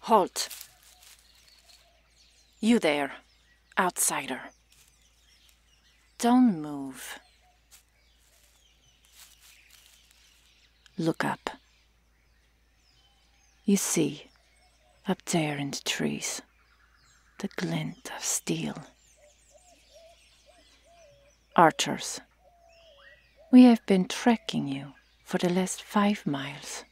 Halt! You there, outsider. Don't move. Look up. You see, up there in the trees, the glint of steel. Archers, we have been tracking you for the last five miles.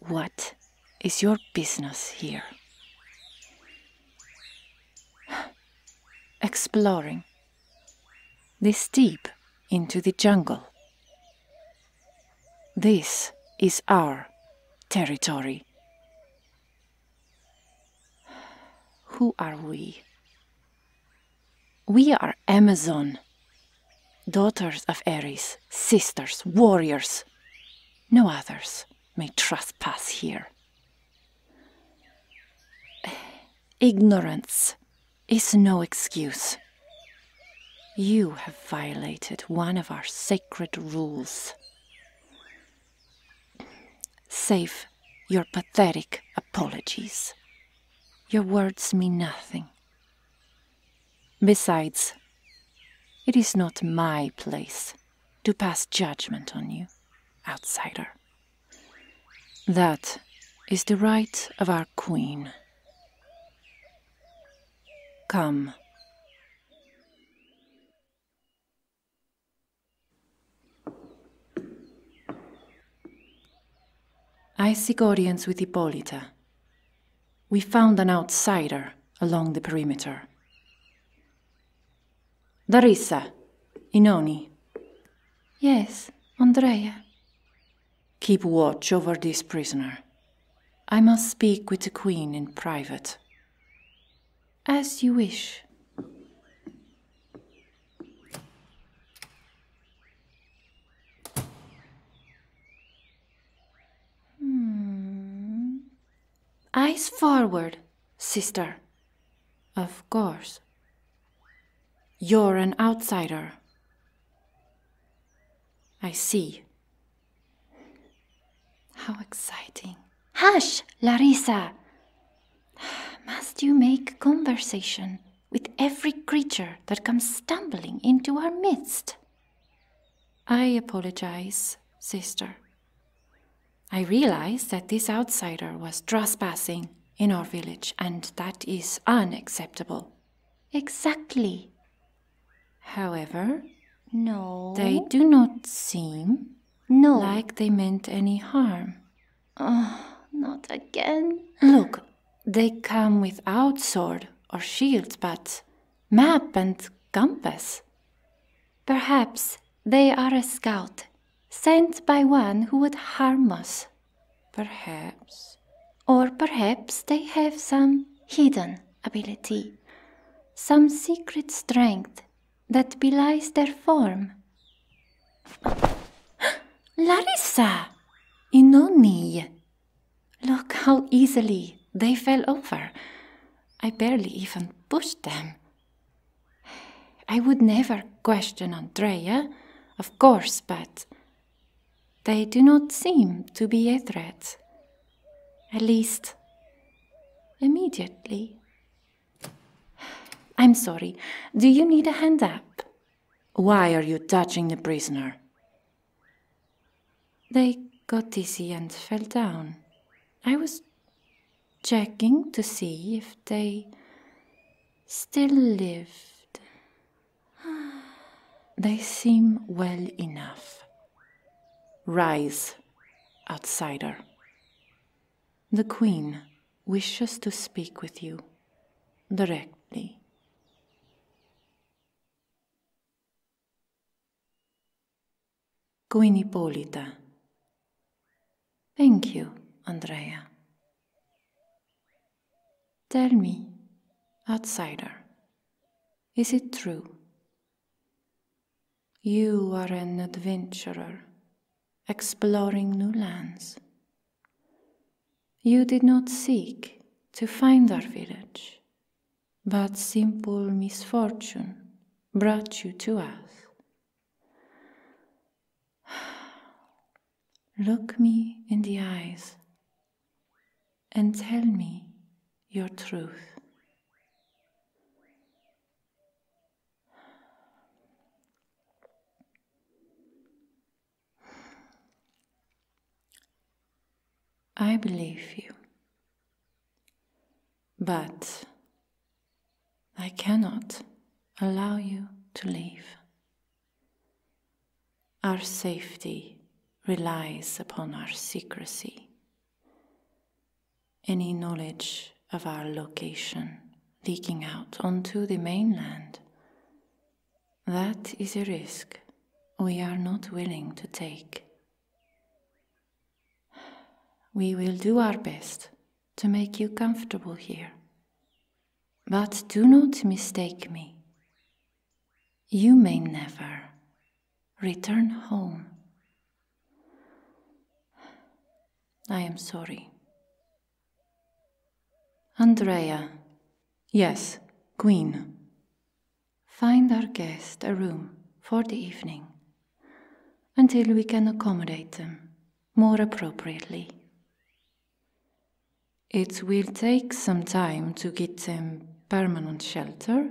What is your business here? Exploring this deep into the jungle. This is our territory. Who are we? We are Amazon, daughters of Ares, sisters, warriors. No others may trespass here. Ignorance is no excuse. You have violated one of our sacred rules. Save your pathetic apologies. Your words mean nothing. Besides, it is not my place to pass judgment on you, outsider. That is the right of our queen. Come. I seek audience with Hippolyta. We found an outsider along the perimeter. Darissa, Inoni. Yes, Andrea. Keep watch over this prisoner. I must speak with the Queen in private. As you wish. Hmm. Eyes forward, sister. Of course. You're an outsider. I see. How exciting. Hush, Larissa! Must you make conversation with every creature that comes stumbling into our midst? I apologize, sister. I realize that this outsider was trespassing in our village, and that is unacceptable. Exactly. However, no. They do not seem no. like they meant any harm. Ah, not again. Look, they come without sword or shield, but map and compass. Perhaps they are a scout sent by one who would harm us. Perhaps. Or perhaps they have some hidden ability some secret strength that belies their form. Larissa! Inoni! Look how easily they fell over. I barely even pushed them. I would never question Andrea, of course, but they do not seem to be a threat. At least, immediately. I'm sorry, do you need a hand up? Why are you touching the prisoner? They got dizzy and fell down. I was checking to see if they still lived. They seem well enough. Rise, outsider. The Queen wishes to speak with you directly. Queen Hippolyta. Thank you, Andrea. Tell me, outsider, is it true? You are an adventurer, exploring new lands. You did not seek to find our village, but simple misfortune brought you to us. Look me in the eyes and tell me your truth. I believe you, but I cannot allow you to leave. Our safety relies upon our secrecy. Any knowledge of our location leaking out onto the mainland, that is a risk we are not willing to take. We will do our best to make you comfortable here. But do not mistake me you may never return home. I am sorry. Andrea. Yes, Queen. Find our guest a room for the evening until we can accommodate them more appropriately. It will take some time to get them permanent shelter.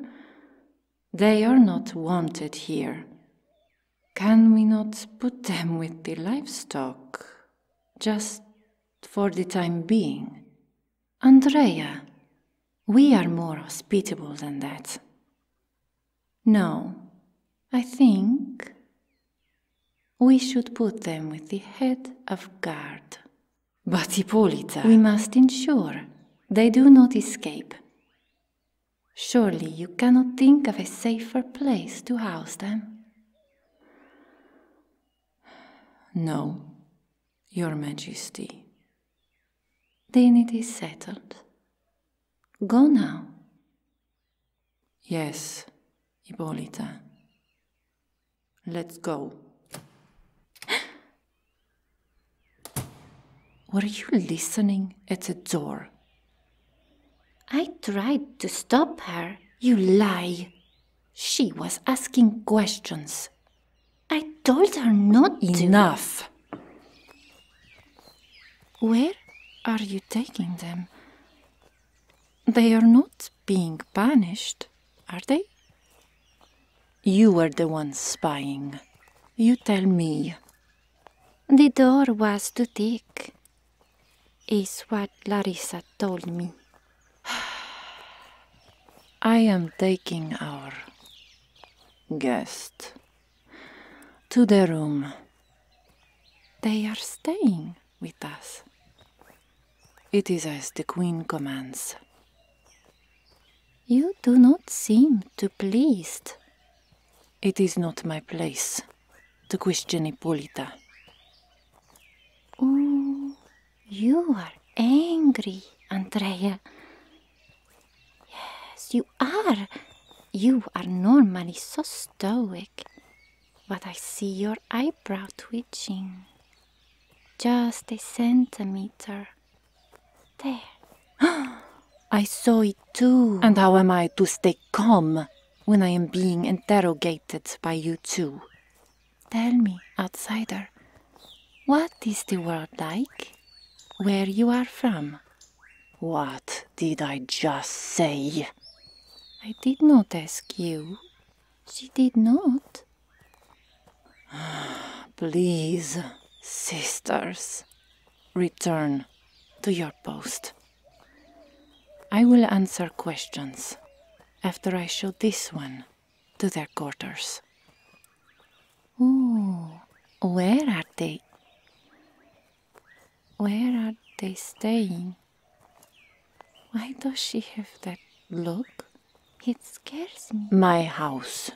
They are not wanted here. Can we not put them with the livestock? Just for the time being. Andrea, we are more hospitable than that. No, I think we should put them with the head of guard. But Hippolyta... We must ensure they do not escape. Surely you cannot think of a safer place to house them? No, Your Majesty. Then it is settled. Go now. Yes, Hippolyta. Let's go. Were you listening at the door? I tried to stop her. You lie. She was asking questions. I told her not Enough. to. Enough. Where are you taking them? They are not being punished, are they? You were the one spying. You tell me. The door was too thick, is what Larissa told me. I am taking our guest to the room. They are staying with us. It is as the Queen commands. You do not seem too pleased. It is not my place to question Hippolyta. Oh, you are angry, Andrea. Yes, you are. You are normally so stoic but I see your eyebrow twitching. Just a centimeter. There. I saw it too. And how am I to stay calm when I am being interrogated by you two? Tell me, outsider, what is the world like? Where you are from? What did I just say? I did not ask you. She did not. Please, sisters, return to your post. I will answer questions after I show this one to their quarters. Ooh, where are they? Where are they staying? Why does she have that look? It scares me. My house.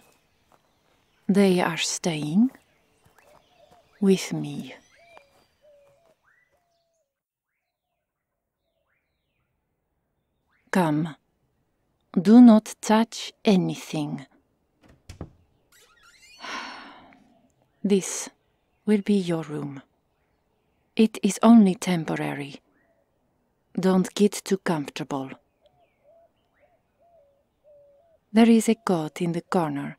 They are staying with me. Come, do not touch anything. This will be your room. It is only temporary. Don't get too comfortable. There is a cot in the corner.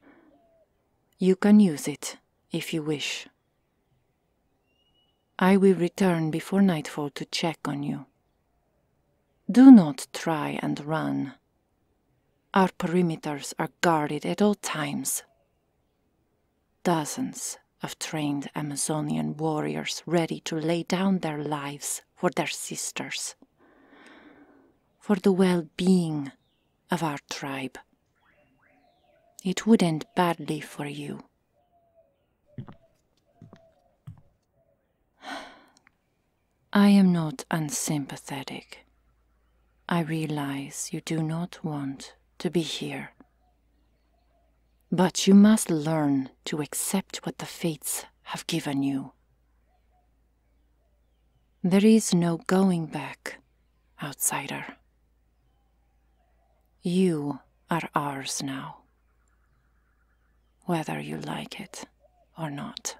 You can use it if you wish. I will return before nightfall to check on you. Do not try and run. Our perimeters are guarded at all times. Dozens of trained Amazonian warriors ready to lay down their lives for their sisters, for the well being of our tribe. It would end badly for you. I am not unsympathetic. I realize you do not want to be here. But you must learn to accept what the fates have given you. There is no going back, outsider. You are ours now, whether you like it or not.